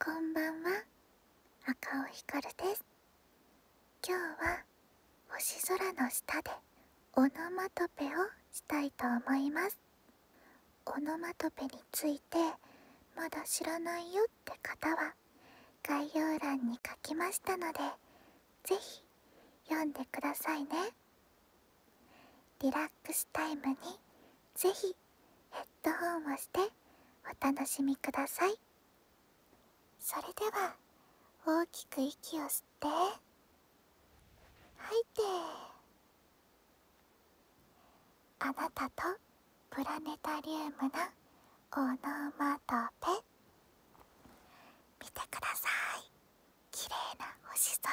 こんばんは赤尾ひかるです今日は星空の下でオノマトペをしたいと思いますオノマトペについてまだ知らないよって方は概要欄に書きましたので是非読んでくださいねリラックスタイムにぜひヘッドホンをしてお楽しみくださいそれでは大きく息を吸って吐いてあなたとプラネタリウムのオノマトペ見てください綺麗な星空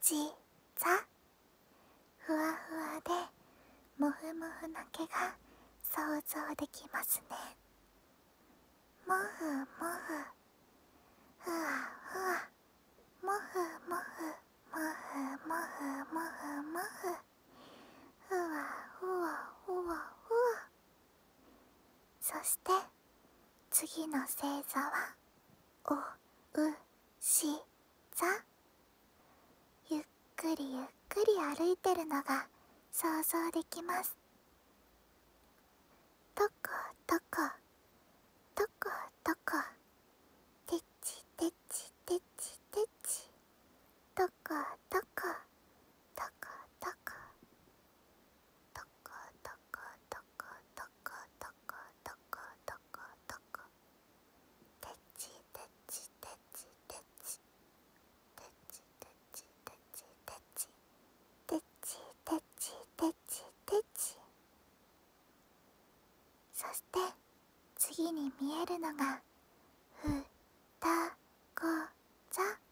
ちざふわふわでもふもふな毛が想像できますねもふもふふわふわもふもふもふもふもふふふわふわふわふわそして次の星座はおうし座ゆっくりゆっくり歩いてるのが想像できますとことことことこてちてちてちてちとことことことちそして次に見えるのが「ふたござ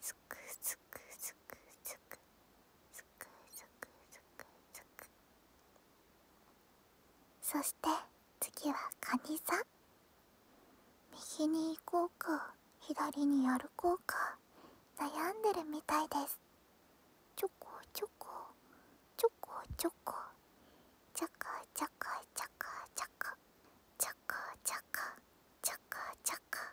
すくすくすくすくすくすくすくそして次はカニ座右に行こうか左に歩こうか悩んでるみたいですちょこちょこちょこちょこちゃかちゃかちゃかちゃかちゃかちゃかちゃかちゃか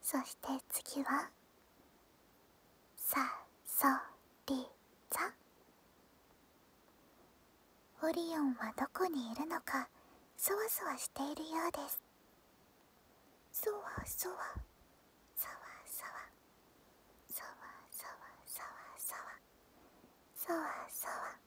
そして次はさそり座オリオンはどこにいるのかそわそわしているようですそわそわそわそわそわそわそわそわそわそわ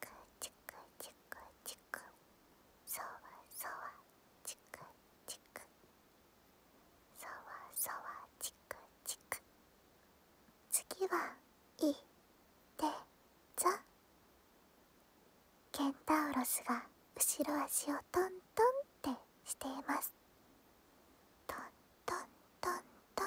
くちくちくちくそわそわちくちくそわそわちくちく次はいて・ぞ…ケンタウロスが後ろ足をトントンってしていますトントントントン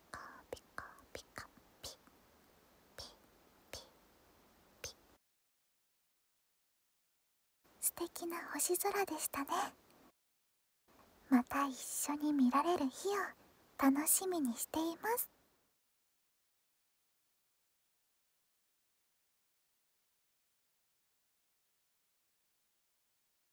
カピカピカピピピピ素敵な星空でしたねまた一緒に見られる日を楽しみにしています